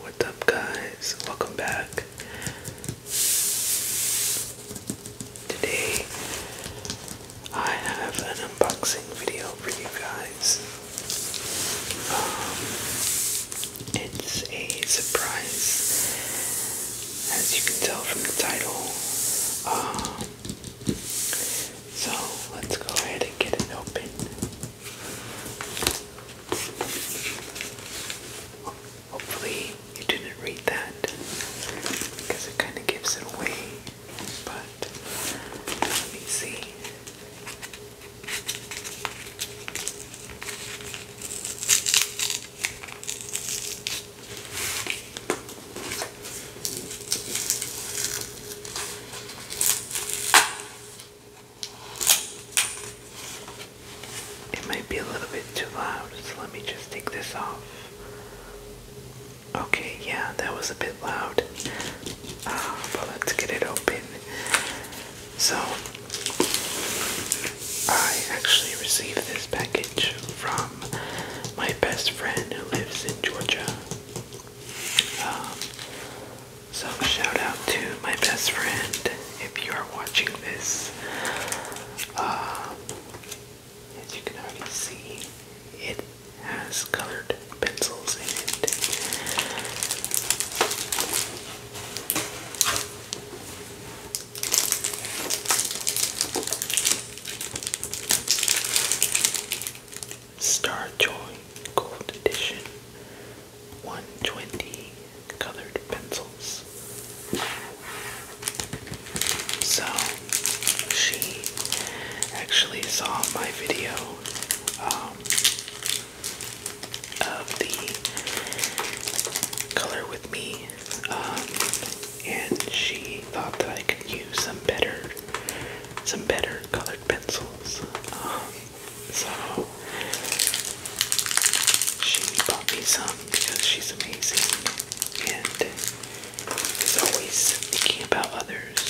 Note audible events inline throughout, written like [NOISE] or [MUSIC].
What's up, guys? Welcome back. Today, I have an unboxing video for you guys. Um, it's a surprise, as you can tell from the title. Um, so let's go ahead and get it open. Hopefully, you didn't read that because it kind of gives it away. But let me see. It might be a little bit too loud, so let me just take this off. Okay, yeah, that was a bit loud. Ah, but let's get it open. So, I actually received this package from my best friend who lives in Georgia. Um, so shout out to my best friend if you are watching this. Uh, as you can already see, it has colored pencils in it. Starjoy Gold Edition 120 colored pencils. So she actually saw my video um, of the color with me um, and she thought that I could use some better some better color pencils. so she bought me some because she's amazing and is always thinking about others.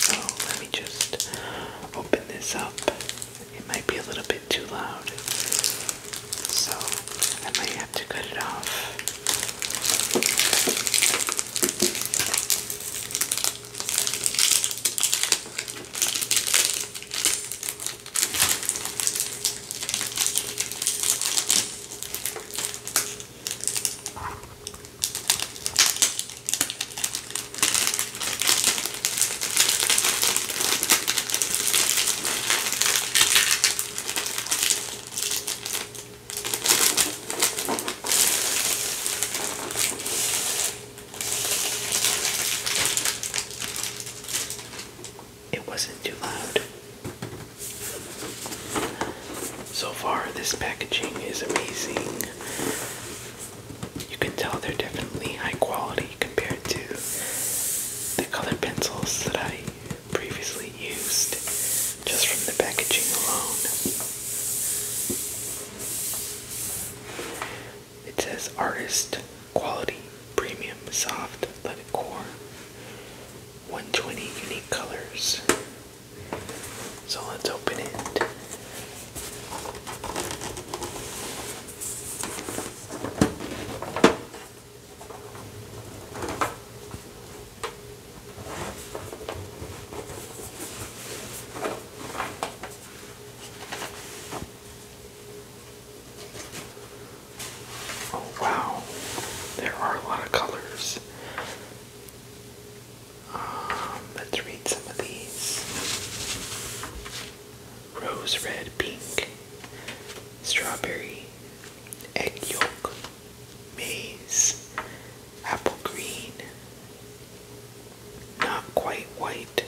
So let me just open this up. It might be a little bit too loud. So I might have to cut it off. It wasn't too loud. So far, this packaging is amazing. You can tell they're definitely high quality compared to the colored pencils that I previously used just from the packaging alone. It says artist quality premium soft leather core 120 unique colors. So let's open it. Oh, wow, there are a lot of colors. Um, let's read some of these rose red, pink, strawberry, egg yolk, maize, apple green, not quite white.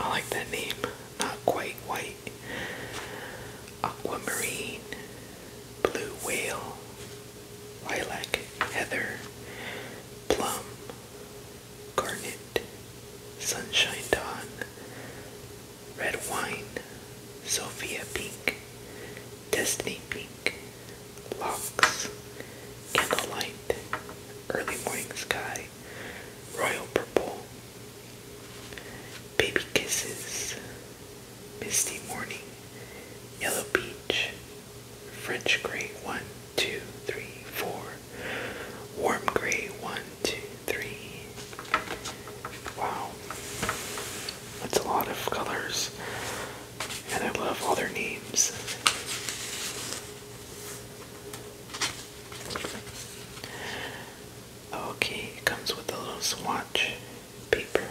I like that name, not quite white. Aquamarine, blue whale, lilac, heather, plum, garnet, sunshine dawn, Red Wine, Sophia Pink, Destiny Pink, Locks, Candlelight, Early Morning Sky, Royal Purple, Baby Kisses, Misty Morning, Yellow Peach, French Gray one, two, three, four, Warm Gray 1, one, two, three. Wow. That's a lot of colors. And I love all their names. Okay, it comes with a little swatch paper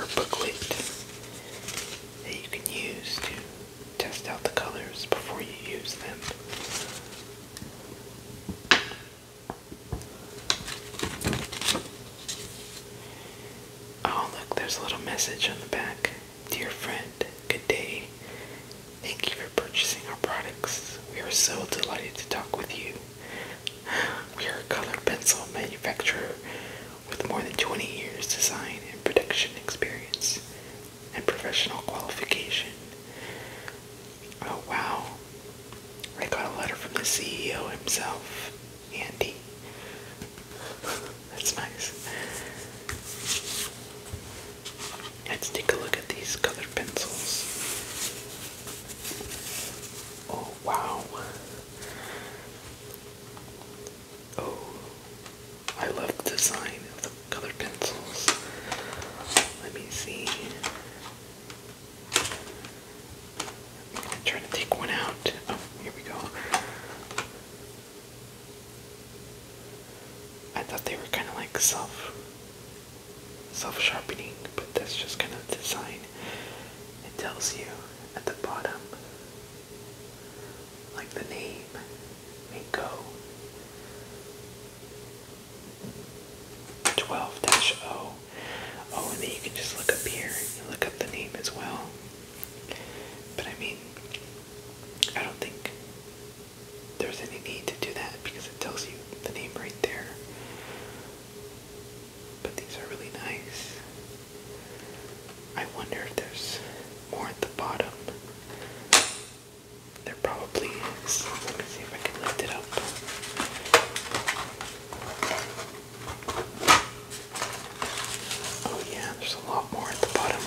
or booklet that you can use to test out the colors before you use them. Oh, look, there's a little message on the back. Dear friend, good day. Thank you for purchasing our products. We are so delighted to talk with you. [SIGHS] We are a colored pencil manufacturer with more than 20 years design and production experience and professional qualification. Oh wow. I got a letter from the CEO himself, Andy. [LAUGHS] That's nice. Let's take a look at these colored pencils. Oh wow. Oh, I love the design of the colored pencils. Let me see. I'm gonna try to take one out. Oh, here we go. I thought they were kind of like self self sharpening, but that's just kind of design. It tells you at the bottom, like the name, Mako. 12-0. Oh, and then you can just look up here and look up the name as well. But I mean, I don't think there's any need to do that because it tells you the name right there. But these are really nice. I wonder if there's more at the bottom. There probably is. Let me see if I can lift it up. Oh, yeah, there's a lot more at the bottom.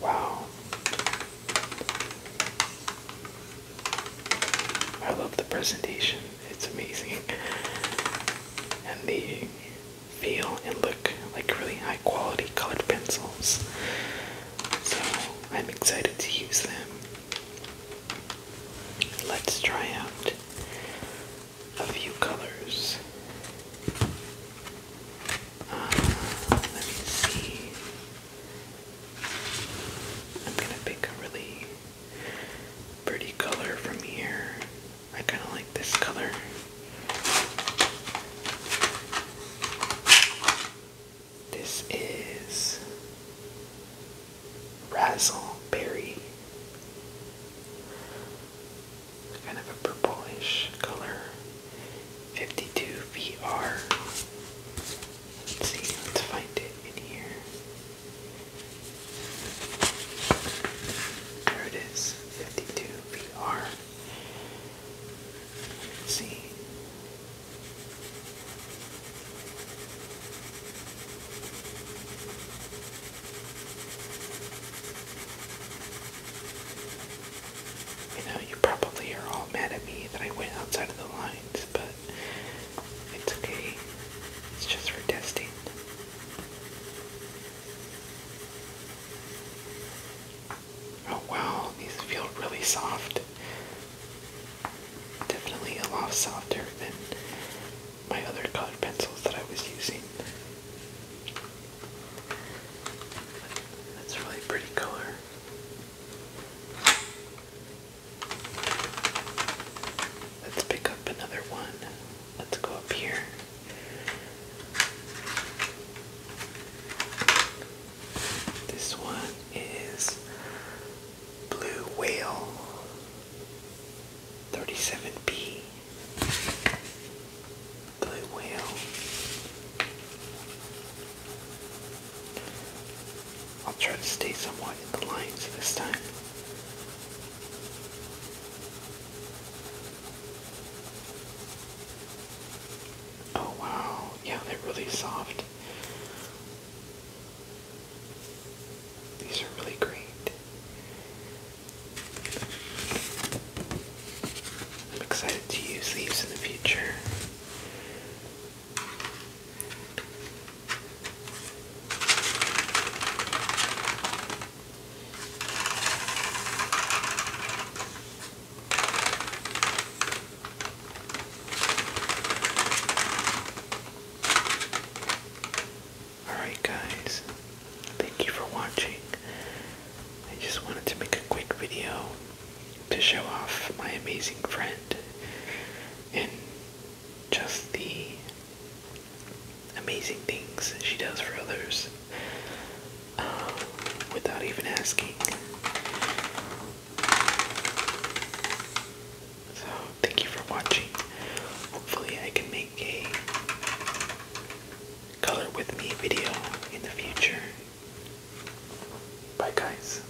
Wow. I love the presentation. It's amazing. [LAUGHS] And the feel and look like really high quality colored pencils. So I'm excited to use them. Let's try out a few colors. Uh, let me see. I'm gonna pick a really pretty color from here. I kind of like this color. This is Razzleberry. Kind of a purplish color. 52 VR. Let's see, let's find it in here. There it is, 52 VR. let see. know you probably are all mad at me that I went outside of the lines, but it's okay. It's just for testing. Oh wow, these feel really soft. Definitely a lot softer than my other colored pencils that I was using. That's a really pretty color. Let's pick up another one. Let's go up here. This one is Blue Whale 37B. Blue Whale. I'll try to stay somewhat in the lines this time. Oh wow, yeah, they're really soft. These are really great. I'm excited to use these in the future. Alright guys, thank you for watching. I just wanted to make a quick video to show off my amazing friend and just the amazing things she does for others um, without even asking. So, thank you for watching. Hopefully, I can make a color with me video in the future. Bye, guys.